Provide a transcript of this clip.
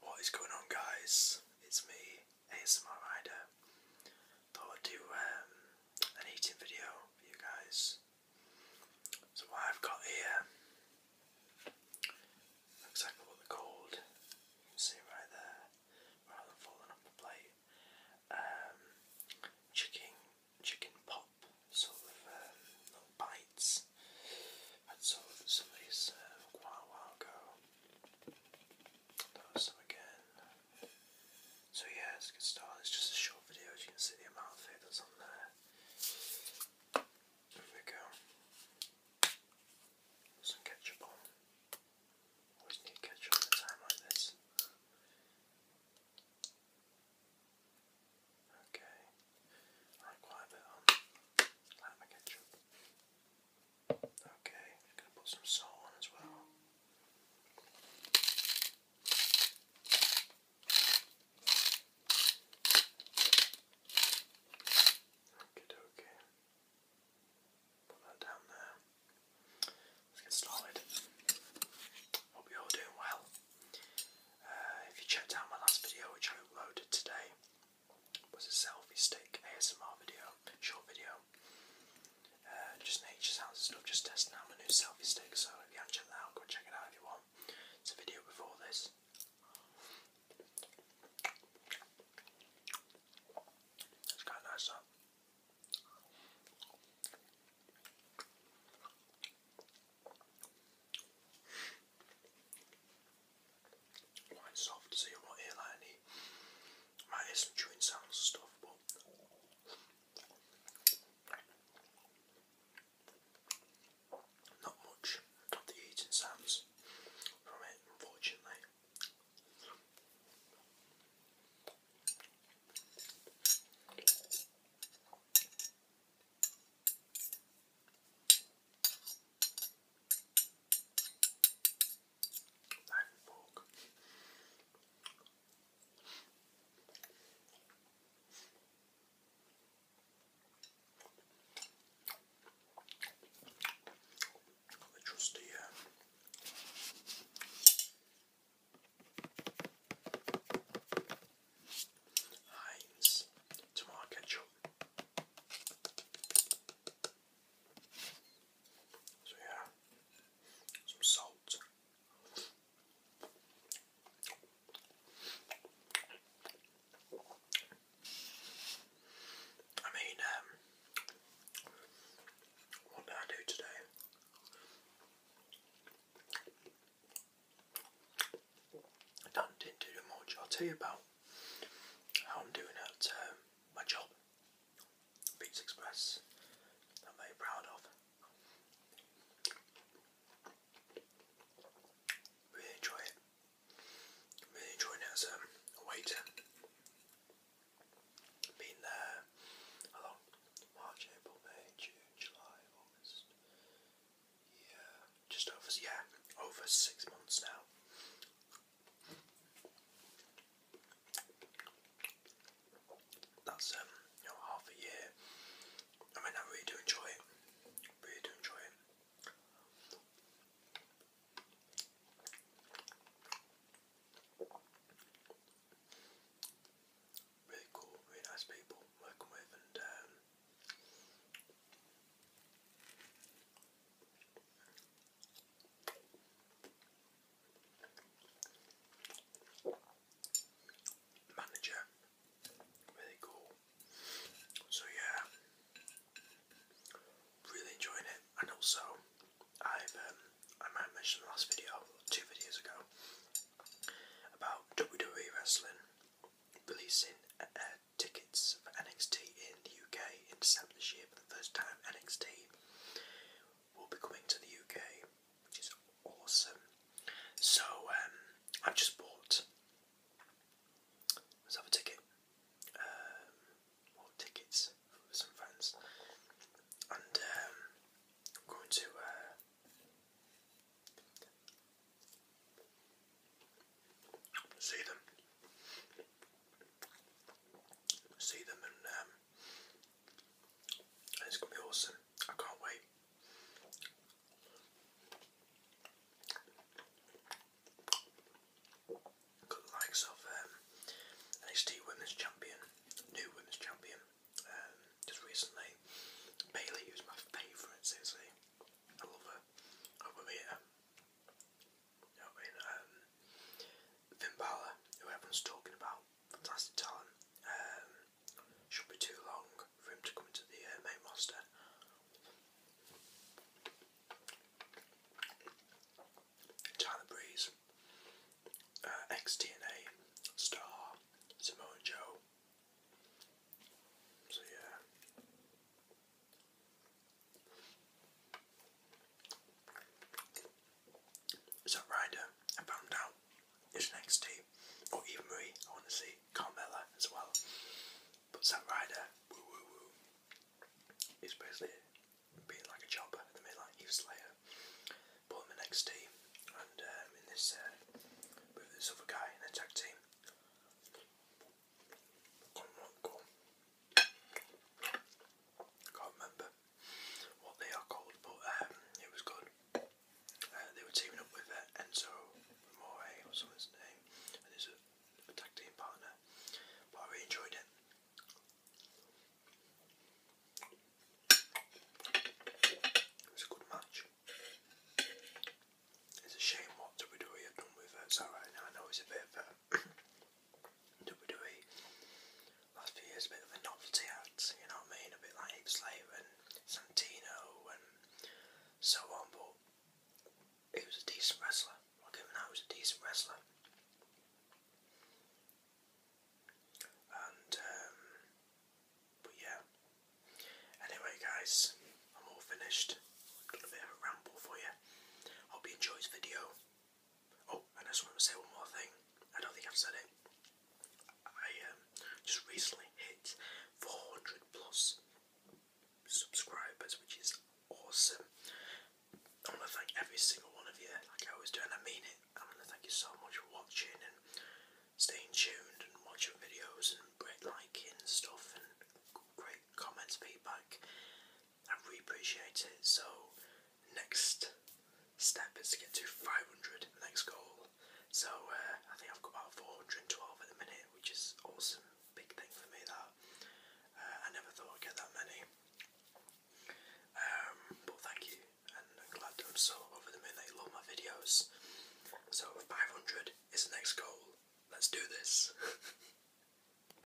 What is going on, guys? It's me, ASMR Rider. Thought I'd do um, an eating video for you guys. So, what I've got here looks like what they're called. You can see right there, rather than falling off the plate. Um, chicken, chicken pop sort of no uh, bites. I'd sold some of these uh, quite some again. So yeah, it's a good start. It's just a short video as you can see the amount of food on there. There we go. Some ketchup on. Always need ketchup at a time like this. Okay. quite a bit on lime and ketchup. Okay, I'm gonna put some salt on as well. Okay, okay. Put that down there. Let's get started. Hope you're all doing well. Uh, if you checked out my last video, which I uploaded today, was a selfie stick ASMR video, short video. Uh, just nature sounds and stuff, just testing out my new selfie stick, so if you haven't checked that out, go check it out if you want. It's a video before this. It's kind of nice, Quite soft, so you won't hear like any. Might hear some chewing sounds and stuff, but. Not much of the eating sounds from it, unfortunately. Knife and fork. Got the trusty um, uh, Heinz tomato So yeah, some salt. I mean, um, what did I do today? didn't do much. I'll tell you about how I'm doing at um, my job, Pizza Express. I'm very proud of. Really enjoy it. Really enjoying as a waiter. Been there March, April, May, June, July, August. Yeah, just over yeah, over six months now. That's um, you know, half a year. I mean, I really do enjoy it. Really do enjoy it. Really cool, really nice people working with and um, Manager, really cool. So yeah, Really enjoying it, and also I've um, I might mention the last video, two videos ago, about WWE wrestling releasing uh, uh, tickets for NXT in the UK in December this year for the first time. NXT will be coming to the UK, which is awesome. So um, I've just bought Let's have a ticket. Um, tickets some friends. And um, I'm going to. Uh, see them. See them um, and it's gonna be awesome. I can't wait. Got the likes of NXT Women's Champion, new Women's Champion, um, just recently. Bailey, who's my favourite, seriously. I love her. I mean? Um, um who everyone's talking about, fantastic talent. Um, should be too long for him to come into the uh, main roster. Tyler Breeze, uh, star, Samoa Joe. So yeah. So Ryder, I found out is an team, or even Marie, I want to see Carmella as well. But Zack Ryder, woo woo woo, is basically being like a chopper at the minute, like Eve Slayer. Put the next team, and um, in this, uh, with this other guy in the tag team. can't remember what they are called, but um, it was good. Uh, they were teaming up with uh, Enzo More or something name, and uh, tag team partner. But I really enjoyed it. It was a good match. It's a shame what WWE have done with it. I know it's a bit of a WWE last few years a bit of a novelty act, you know what I mean? A bit like Ape Slave and Santino and so on, but he was a decent wrestler. i him that, he was a decent wrestler. And, um, but yeah. Anyway, guys, I'm all finished. I've done a bit of a ramble for you. Hope you enjoy this video. Oh, and I just want to say one more thing. I don't think I've said it. I um, just recently hit 400 plus subscribers, which is awesome. I want to thank every single one of you, like I always do, and I mean it. I want to thank you so much for watching and staying tuned and watching videos and great liking and stuff and great comments, feedback. I appreciate it. So, next step is to get to 500, next goal. So, uh, I think I've got about 412 at the minute, which is awesome. Big thing for me that. Uh, I never thought I'd get that many. Um, but thank you, and glad I'm so over the minute. Love my videos. So 500 is the next goal. Let's do this.